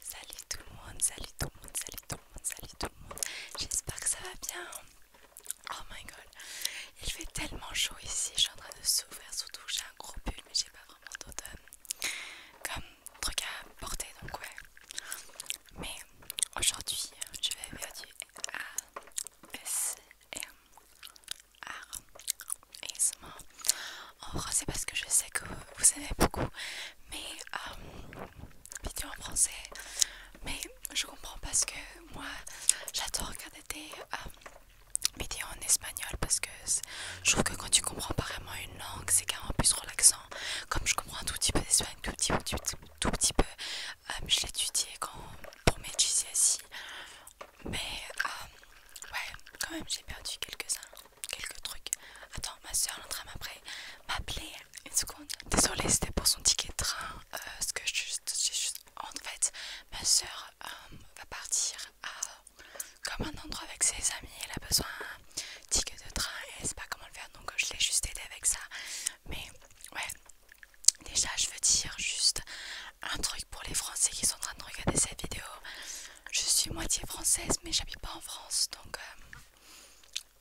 Salut tout le monde, salut tout le monde, salut tout le monde, salut tout le monde. J'espère que ça va bien. Oh my god, il fait tellement chaud ici. Je suis en train de souffrir, surtout j'ai un gros pull, mais j'ai pas vraiment d'automne euh, comme truc à porter donc ouais. Mais aujourd'hui, je vais faire du ASMR. En français parce que je sais que vous aimez beaucoup mais euh, vidéo en français. Mais je comprends parce que moi j'adore regarder des euh, vidéos en espagnol parce que je trouve que quand tu comprends pas vraiment une langue c'est carrément plus relaxant. Comme je comprends un tout petit peu d'espagnol, tout petit, tout, petit peu, je euh, je l'étudiais pour mes GCSI. E. Mais ouais, quand même j'ai perdu quelques-uns quelques trucs. Attends, ma soeur en train m'appeler. Une seconde. Désolée, c'était pour son ticket de train. Euh, ce que en fait, ma soeur euh, va partir à comme un endroit avec ses amis. Elle a besoin d'un ticket de train et elle sait pas comment le faire. Donc euh, je l'ai juste aidé avec ça. Mais ouais. Déjà, je veux dire juste un truc pour les Français qui sont en train de regarder cette vidéo. Je suis moitié française, mais j'habite pas en France. Donc, euh,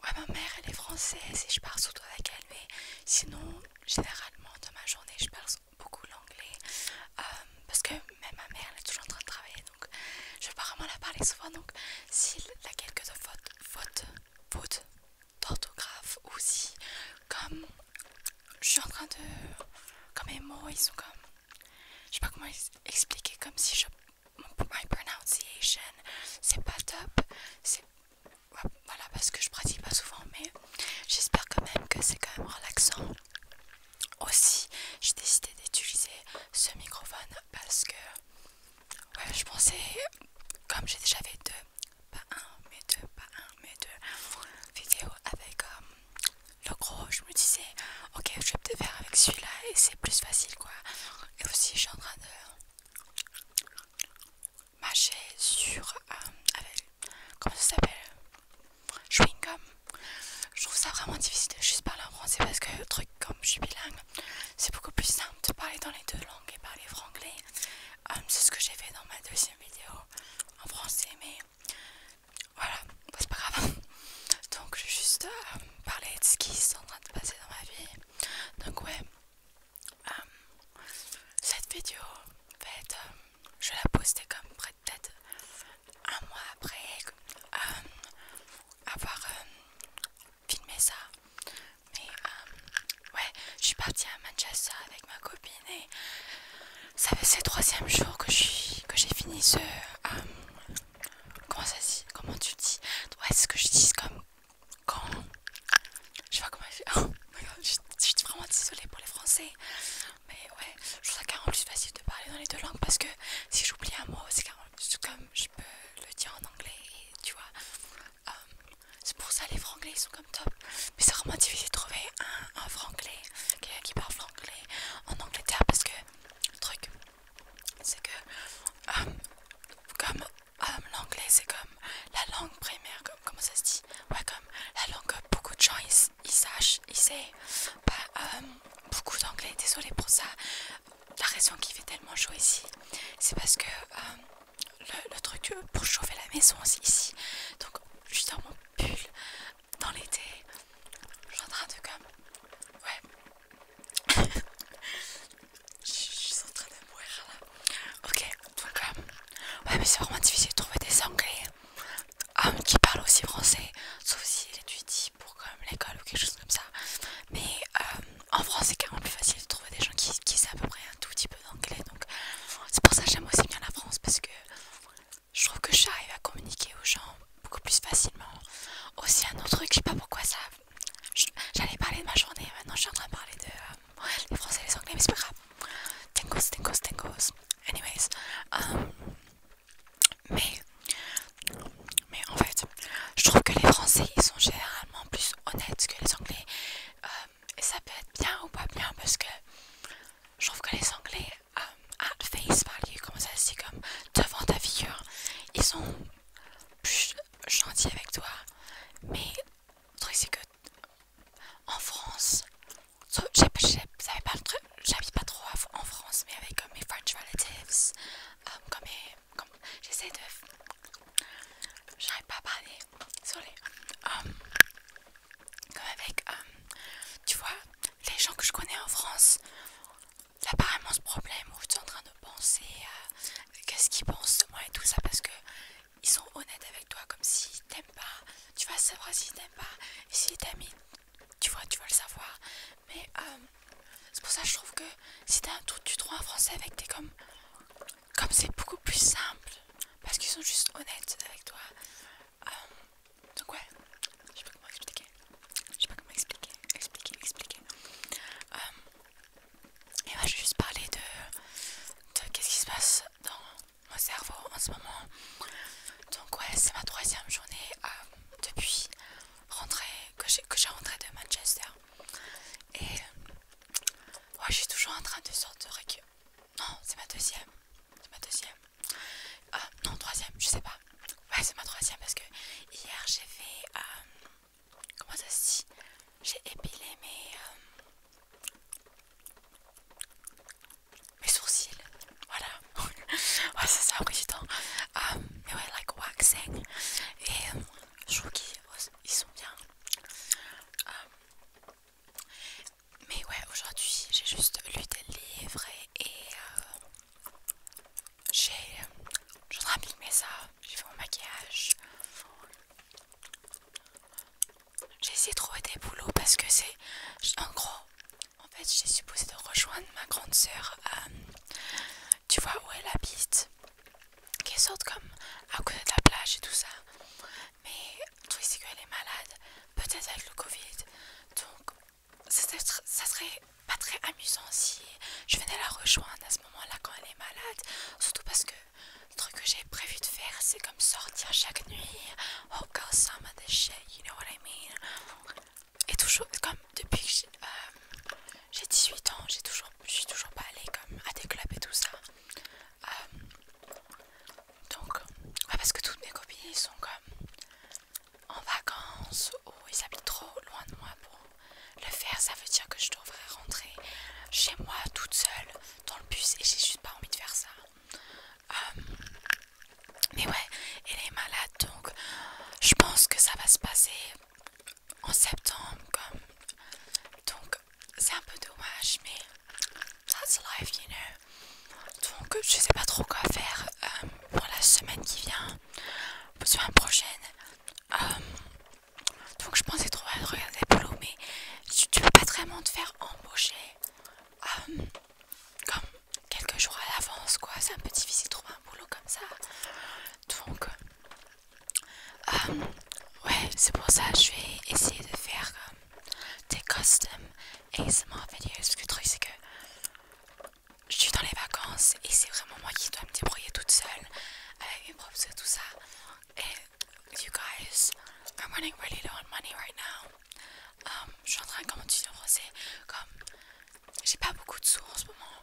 ouais, ma mère, elle est française et je parle surtout avec elle. Mais sinon, généralement, dans ma journée, je parle beaucoup l'anglais. Euh, parce que même ma mère, elle est toujours en train de travailler. Donc, je vais pas vraiment la parler souvent. Donc, s'il a quelques fautes, faute, d'orthographe ou si, comme je suis en train de. Comme mes mots, ils sont comme je sais pas comment expliquer comme si je my pronunciation c'est pas top voilà parce que je pratique pas souvent mais j'espère quand même que c'est quand même relaxant aussi j'ai décidé d'utiliser ce microphone parce que ouais je pensais comme j'ai déjà fait deux pas un mais deux pas un mais deux vidéos avec euh, le gros, je me disais, ok, je vais peut-être faire avec celui-là et c'est plus facile quoi. Et aussi, je suis en train de mâcher sur. Euh, comment ça s'appelle Chewing gum. Je trouve ça vraiment difficile de juste parler en français parce que, truc comme je suis bilingue, c'est beaucoup plus simple de parler dans les deux langues et parler franglais. Euh, c'est ce que j'ai fait dans ma deuxième vidéo en français, mais voilà, bah, c'est pas grave. Donc je vais juste euh, parler de ce qui est en train de passer dans ma vie. Donc ouais, euh, cette vidéo va euh, je la poster comme près de tête un mois après avoir filmé ça. Mais ouais, je suis partie à Manchester avec ma copine. Ça fait le troisième jours que j'ai que fini ce... Euh, comment ça dit Comment tu dis Ouais, ce que je dis comme... Quand... Je sais pas comment... Oh je, je suis vraiment désolée pour les français. Mais ouais, je trouve ça carrément plus facile de parler dans les deux langues parce que si j'oublie un mot, c'est carrément plus comme je peux le dire en anglais, tu vois. Euh, c'est pour ça les franglais ils sont comme top mais c'est vraiment difficile de trouver un, un franglais, qui parle franglais en Angleterre parce que le truc c'est que euh, comme euh, l'anglais c'est comme la langue primaire, comme, comment ça se dit Ouais, comme la langue beaucoup de gens ils, sachent, ils savent. pas bah, euh, beaucoup d'anglais, désolé pour ça. La raison qui fait tellement chaud ici, c'est parce que le, truc pour chauffer la maison, c'est ici. Donc, justement pull dans l'été, je suis en train de comme... Ouais. je, suis en train de mourir là. Ok, donc euh, Ouais mais c'est vraiment difficile de trouver des anglais qui parlent aussi français, sauf si étudient pour comme l'école ou quelque chose comme ça. Mais euh, en France c'est quand même plus facile de trouver des gens qui, qui savent à peu près un tout petit peu d'anglais. Donc c'est pour ça que j'aime aussi bien la France parce que je trouve que j'arrive à communiquer aux gens beaucoup plus facilement. Aussi un autre truc, je sais pas pourquoi ça... J'allais parler de ma journée, maintenant je suis en train de parler de... Euh, les français et les anglais, mais c'est pas grave. Tengos, tengos, tengos. Anyways. Euh, mais... Mais en fait, je trouve que les français, ils sont généralement plus honnêtes que les anglais. Euh, et ça peut être bien ou pas bien parce que je trouve que les anglais euh, à at face value, comme ça c'est comme devant ta figure, ils sont plus gentils avec toi. Mais le truc c'est que en France, pas j'habite pas trop en France, mais avec euh, mes French relatives, euh, comme, j'essaie de, j'arrive pas à parler, désolé comme avec, euh, tu vois, les gens que je connais en France, apparemment ce problème où tu es en train de penser qu'est-ce qu'ils pensent de moi et tout ça parce que ils sont honnêtes avec toi comme s'ils t'aiment pas, tu vas savoir s'ils t'aiment pas, et s'ils t'aiment, tu vois, tu vas le savoir. Mais euh, c'est pour ça que je trouve que si t'as un truc, tu trouves un français avec tes comme comme c'est beaucoup plus simple parce qu'ils sont juste honnêtes avec toi. Euh, donc ouais, je sais pas comment expliquer. Je sais pas comment expliquer, expliquer, expliquer. Euh, et moi, je vais juste parler de, de qu'est-ce qui se passe dans mon cerveau en ce moment. Donc ouais, c'est ma troisième journée euh, depuis rentré que j'ai que j'ai rentré de Manchester. Et ouais, je suis toujours en train de sortir de non, c'est ma deuxième. C'est ma deuxième. Ah non, troisième, je sais pas. Ouais, c'est ma troisième parce que hier j'ai fait. Euh, comment ça se dit J'ai épilé mes. Euh, mes sourcils. Voilà. ouais, c'est ça, président. Euh, mais ouais, like waxing. Et euh, je trouve qu'ils sont bien. Mais ouais, aujourd'hui j'ai juste lu des livres et, j'ai... Euh, j'ai je mes ça. J'ai fait mon maquillage. J'ai essayé de trouver des boulots parce que c'est en gros. En fait, j'ai supposé de rejoindre ma grande sœur. Euh, tu vois où elle habite qui sortent comme à côté de la plage et tout ça. Mais le truc c'est qu'elle est malade, peut-être avec le Covid. Donc ça serait pas très amusant si je venais la rejoindre à ce moment-là quand elle est malade. Surtout parce que le truc que j'ai prévu de faire c'est comme sortir chaque nuit. Oh girl, some of this shit, you know what I mean. Et toujours, comme depuis que j'ai 18 euh, ans, j'ai toujours, je suis toujours pas allée comme à des clubs et tout ça. Euh, donc, parce que toutes mes copines sont comme en vacances ou ils habitent trop loin de moi pour le faire. Ça veut dire que je devrais rentrer chez moi toute seule dans le bus et j'ai juste pas envie de faire ça. Euh, mais ouais, elle est malade donc je pense que ça va se passer en septembre comme donc c'est un peu dommage mais that's life you know donc je sais pas trop quoi faire euh, pour la semaine qui vient pour la semaine prochaine euh, donc je pensais trop à regarder mais tu, veux pas vraiment te faire embaucher euh, comme quelques jours à l'avance quoi c'est un peu difficile de trouver un boulot comme ça donc euh, ouais, c'est pour ça que je vais essayer de faire euh, des custom ASMR videos Parce que le truc, c'est que je suis dans les vacances et c'est vraiment moi qui dois me débrouiller toute seule avec mes props et tout ça. Et you guys, I'm running really low on money right now. Um, je suis en train de commencer à brosser Comme j'ai pas beaucoup de sous en ce moment,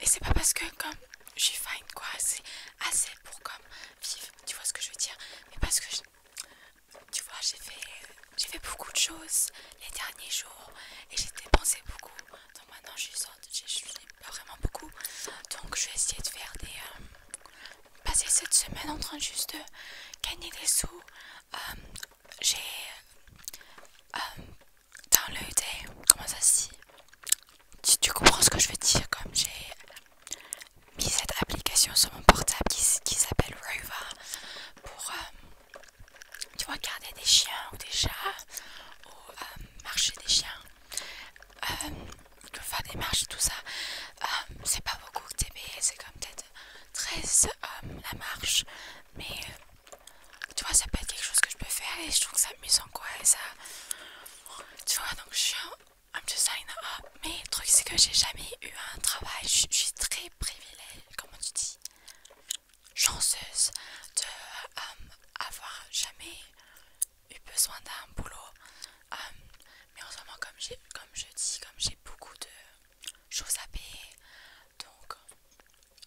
et c'est pas parce que comme je suis fine quoi, c'est assez pour comme vivre, tu vois ce que je veux dire. Mais parce que tu vois, j'ai fait, j'ai fait beaucoup de choses les derniers jours et j'ai dépensé beaucoup. Donc maintenant je suis je j'ai pas vraiment beaucoup. Donc je vais essayer de faire des euh, passer cette semaine en train juste de gagner des sous. Euh, j'ai euh, dans le comment ça se dit tu, comprends ce que je veux dire comme j'ai mis cette application sur mon portable qui, s'appelle Rover pour euh, tu vois garder des chiens ou des chats ou euh, marcher des chiens euh, faire des marches et tout ça c'est pas beaucoup que TB c'est comme peut-être 13 la marche mais tu vois, ça peut être quelque chose que je peux faire et je trouve que ça amusant quoi. Et ça. Tu vois, donc je suis un, peu Mais le truc, c'est que j'ai jamais eu un travail. Je, suis très privilégiée, comment tu dis, chanceuse de um, avoir jamais eu besoin d'un boulot. Um, mais en ce moment, comme, comme je dis, comme j'ai beaucoup de choses à payer, donc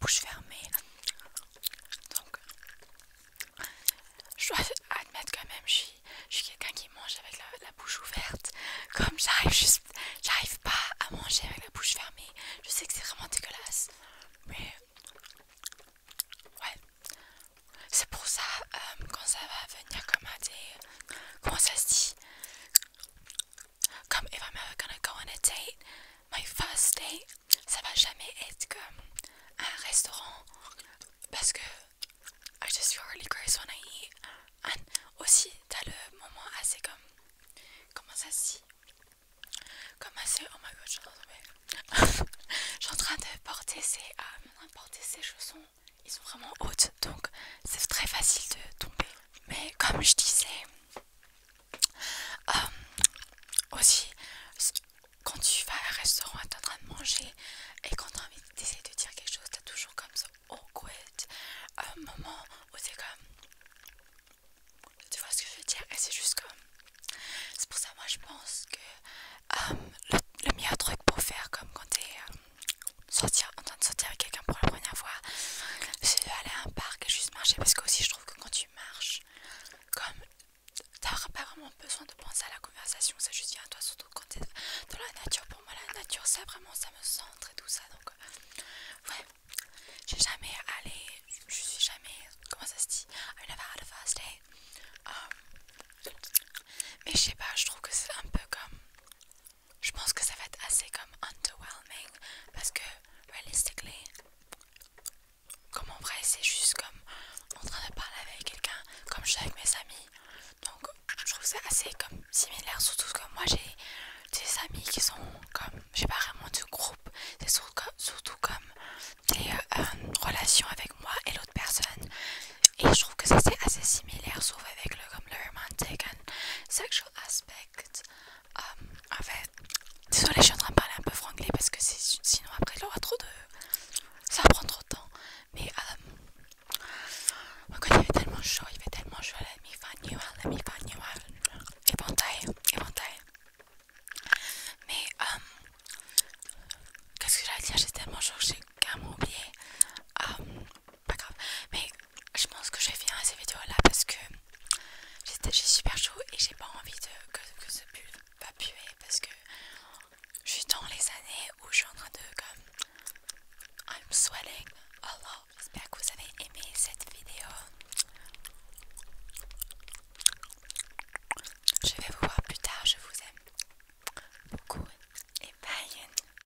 bouche fermée. Donc, je dois admettre quand même, je, je suis quelqu'un qui mange avec la, bouche ouverte. Comme j'arrive juste, j'arrive pas à manger avec la bouche fermée. Je sais que c'est vraiment dégueulasse, mais ouais, c'est pour ça euh, quand ça va venir comme à des, comment ça se dit, comme if I'm ever gonna go on a date, my first date, ça va jamais être comme un restaurant parce que I just feel really gross when I eat. And also, t'as le moment assez comme. Comment ça se dit Comme assez. Oh my god, je suis en train de tomber. je suis en train de porter ces. Euh, porter ces chaussons. Ils sont vraiment hautes donc c'est très facile de tomber. Mais comme je disais, Euh, aussi, quand tu vas à un restaurant et t'es en train de manger et quand t'as envie d'essayer de dire quelque chose, t'as toujours comme ça quoi euh, un moment où t'es comme. Tu vois ce que je veux dire? Et c'est juste comme. C'est pour ça, moi je pense que euh, le, meilleur truc pour faire, comme quand t'es sortir, en train de sortir avec quelqu'un pour la première fois, c'est aller à un parc et juste marcher parce que aussi je trouve que quand tu marches, comme t'as pas vraiment besoin de penser à la conversation, ça juste vient à toi, surtout quand t'es dans la nature. Pour moi, la nature, ça vraiment, ça me centre et tout ça. Donc, euh, ouais, j'ai jamais allé, je suis jamais, comment ça se dit, I never had a first day. Euh, mais je sais pas, je trouve que c'est un peu comme je pense que ça va être assez comme underwhelming parce que realistically comme en vrai c'est juste comme en train de parler avec quelqu'un comme je suis avec mes amis donc je trouve c'est assez comme similaire surtout que moi j'ai des amis qui sont comme j'ai pas vraiment du groupe c'est surtout, comme des euh, euh, relations avec moi et l'autre personne et je trouve que ça c'est assez similaire sauf avec le comme le romantic and sexual aspect en fait, euh, désolé, je suis en train de parler un peu franglais parce que sinon après il aura trop de. ça prend trop de temps. Mais euh, quand il fait tellement chaud, il fait tellement chaud, la mi fa nual, la mi fa nual, éventail, éventail. Mais euh, qu'est-ce que j'allais dire J'ai tellement chaud que j'ai carrément oublié. Euh, pas grave. Mais je pense que je vais finir cette vidéo là parce que j'ai super chaud et j'ai pas envie de, que, ce pull va puer parce que je suis dans les années où je suis en train de comme. I'm sweating a lot. J'espère que vous avez aimé cette vidéo. Je vais vous voir plus tard. Je vous aime beaucoup et bye.